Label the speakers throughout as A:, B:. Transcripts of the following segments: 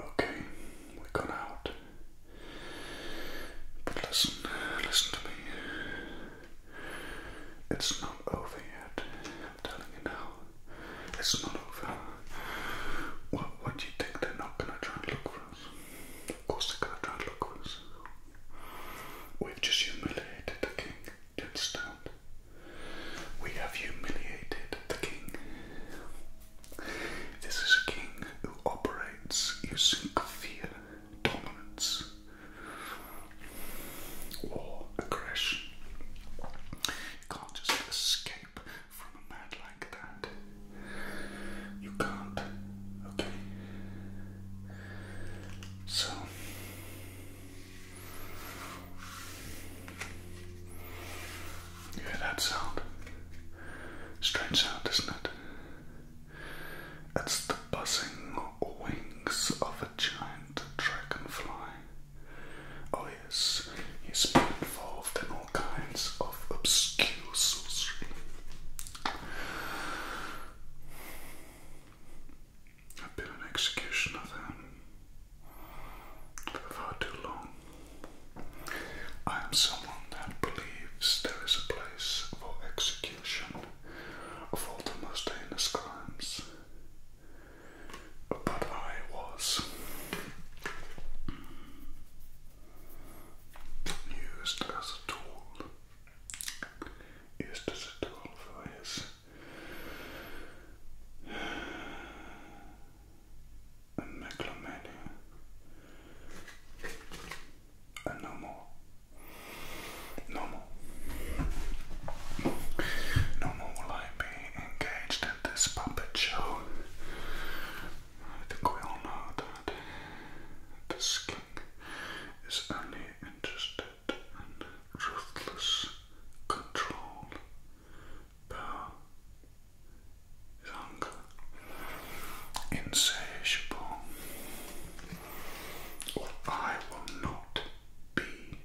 A: Okay, we've out. But listen, listen to me. It's not over yet. I'm telling you now. It's not over. What, do you think they're not gonna try and look for us? Of course they're gonna try and look for us. We've just humiliated the king. Do you We have humiliated the king. This is a king who operates using fear, dominance, or aggression. You can't just escape from a man like that. You can't, okay? So. You hear that sound? Strange sound, isn't it? It's the buzzing wings of a giant dragonfly. Oh, yes, he's been involved in all kinds of obscure sorcery. I've been an executioner then for too long. I am someone that believes there is a place for execution of all the most heinous crimes. But I was used as a tool, used as a tool for his a megalomania, and no more. No more. No more will I be engaged in this puppet show. I think we all know that this king is only interested in ruthless control par hunger insatiable, or I will not be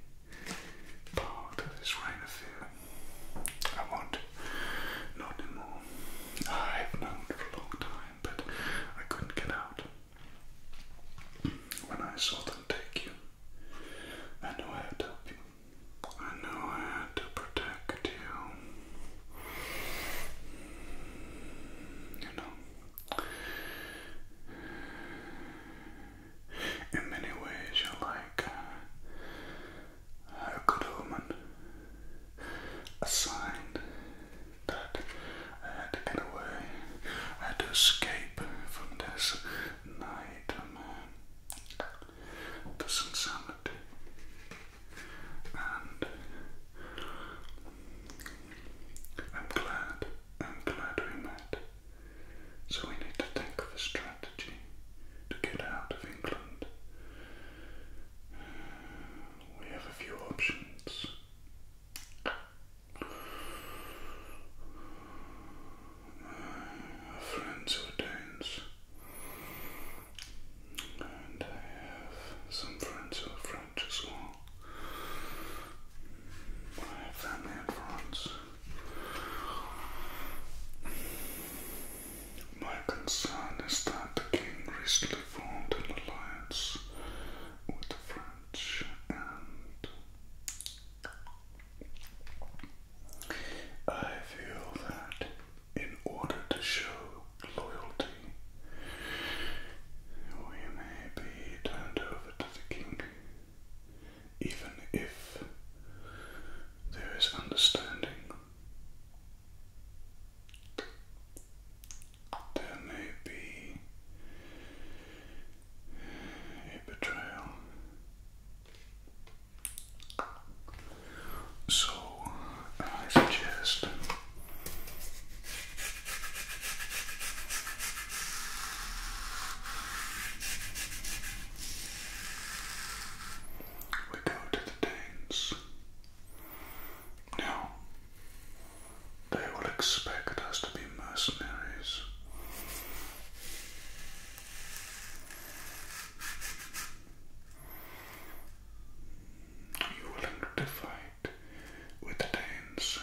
A: part of this reign of fear. I won't, not anymore. I've known for a long time, but I couldn't get out. When I saw them take you, I know I had to help you. I know I had to protect you. You know, in many ways, you're like a, good woman, a sign that I had to get away, had to escape from this nightmare this insanity and I'm glad, I'm glad we met. So we need to think of a strategy to get out of England. We have a few options friends who Danes, and I have some friends who French as well. I have family in France. My concern is that the king recently formed an alliance with the French and I feel that in order to show loyalty, we may be turned over to the king, even if there is understanding. There may be a betrayal. So I suggest we go to the Danes. Now, they will expect us to be mercenaries. Are you willing to fight with the Danes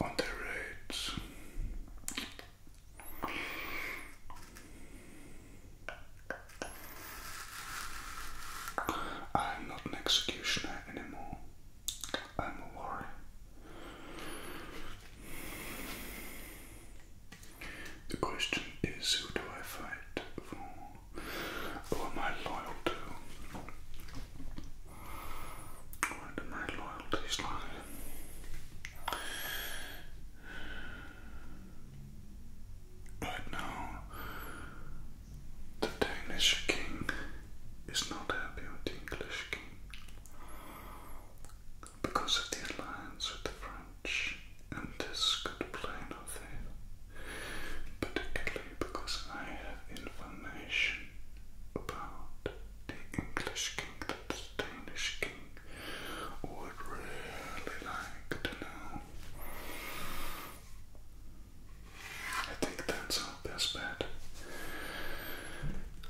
A: on their raids? I'm not an executioner anymore. I'm a worry. The question is who do I fight for? Who am I loyal to? Where do my loyalties lie? Right now, the Danish king is not happy with the English king. Because of the alliance with the French, and this could play in our particularly because I have information about the English king that the Danish king would really like to know. I think that's all not this bad.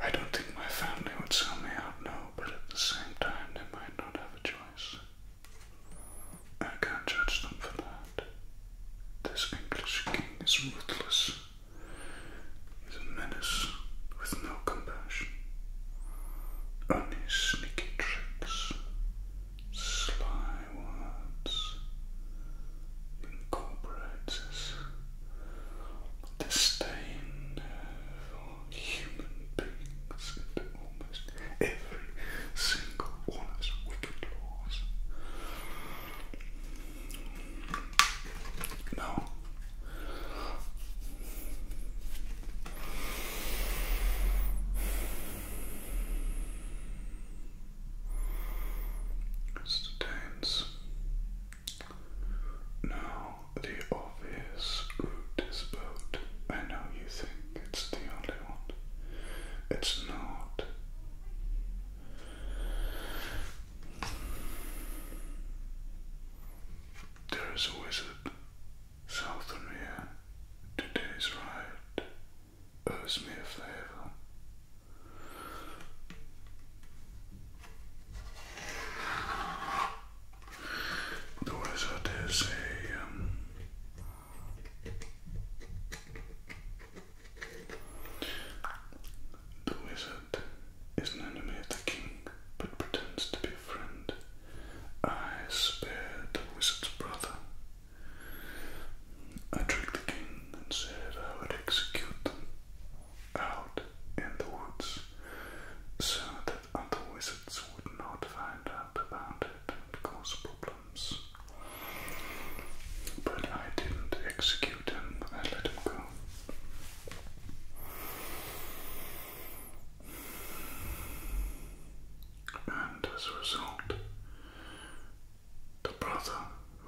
A: I don't think my family would sell me out, no, but at the same time, they might not have a choice. I can't judge them for that. This English king is ruthless. He's a menace with no compassion. Only sneaky tricks, sly words, incorporates disdain for human beings and almost every single one of his wicked laws. No. Mr. Danes. Now, the obvious route is boat. I know you think it's the only one. It's not. There is a wizard south of here. Today's ride owes me a favour. Though, as I dare the wizard is an enemy of the king, but pretends to be a friend. I spare the wizard's brother, I tricked the king and said I would execute them out in the woods so that other wizards would not find out about it and cause problems. But I didn't execute them; I let them go. And as a result, the brother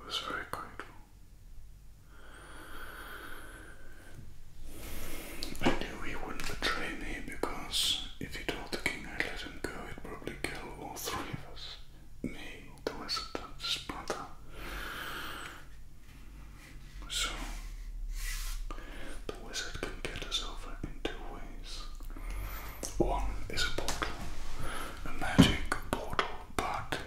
A: was very grateful. I knew he wouldn't betray me because if he told the king I would let him go, he'd probably kill all three of us me, the wizard, and his brother. So, the wizard can get us over in two ways. One is a portal, a magic portal but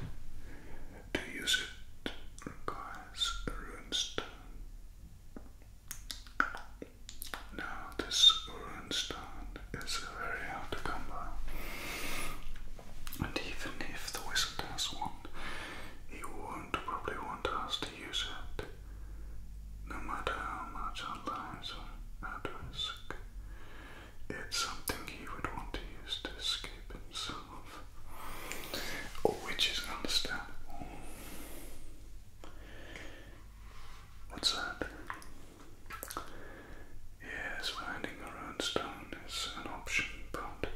A: to use it requires a runestone. Now, this runestone is very hard to come by, and even if the wizard has one, he won't probably want us to use it, no matter how much our lives are at risk. It's something he would want to use to escape himself, which is understandable. What's that? Yes, finding our own stone is an option, but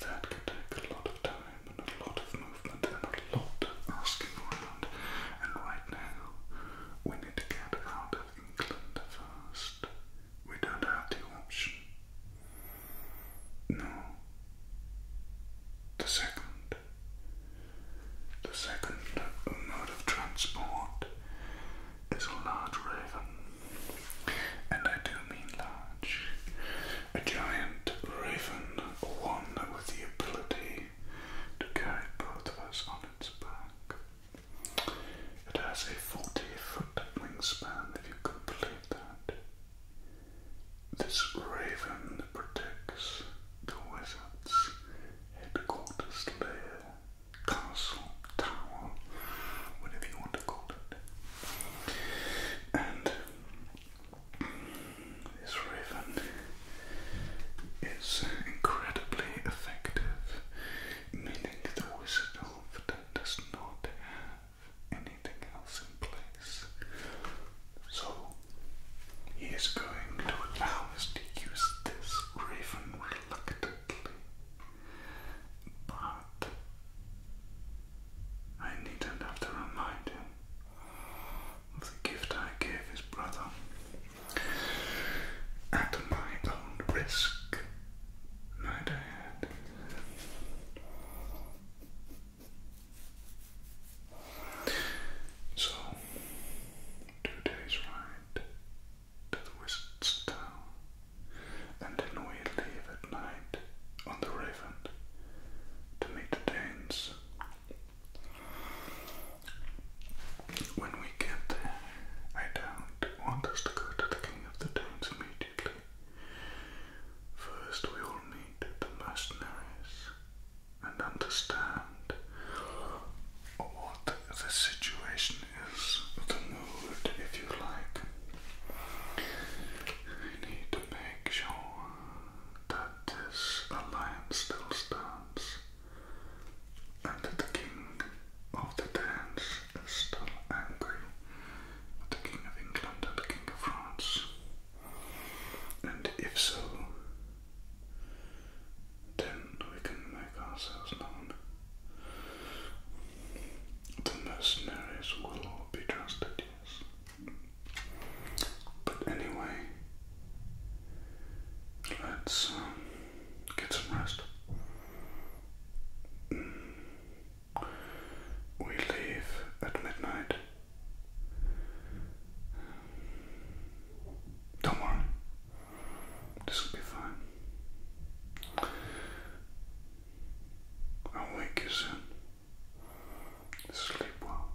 A: that can take a lot of time and a lot of movement and a lot of asking around. And right now, we need to get out England first. We don't have the option. No. The second. The second mode of transport is a large raven. And I do mean large. A giant raven, one with the ability to carry both of us on its back. It has a 40 foot wingspan if you complete that. This raven protects the wizard's headquarters lair, castle, tower, whatever you want to call it. And this raven is incredibly effective, meaning the Wizard of that does not have anything else in place. So he is going to allow us to use this raven reluctantly. But I needn't have to remind him of the gift I gave his brother at my own risk, might I So, two days ride to the wizard's town, and then we leave at night on the Raven to meet the Danes when we get there, I don't want us to go to the King of the Dunes immediately. First, we will meet the mercenaries and understand what the situation is, the mood, if you like. We need to make sure that this alliance still stands and the king of the Danes is still angry with the king of England and the king of France. And if so, then we can make ourselves known. The mercenaries will all be trusted, yes. But anyway, Let's um, get some rest. We leave at midnight. Don't worry, this will be fine. I'll wake you soon. Sleep well.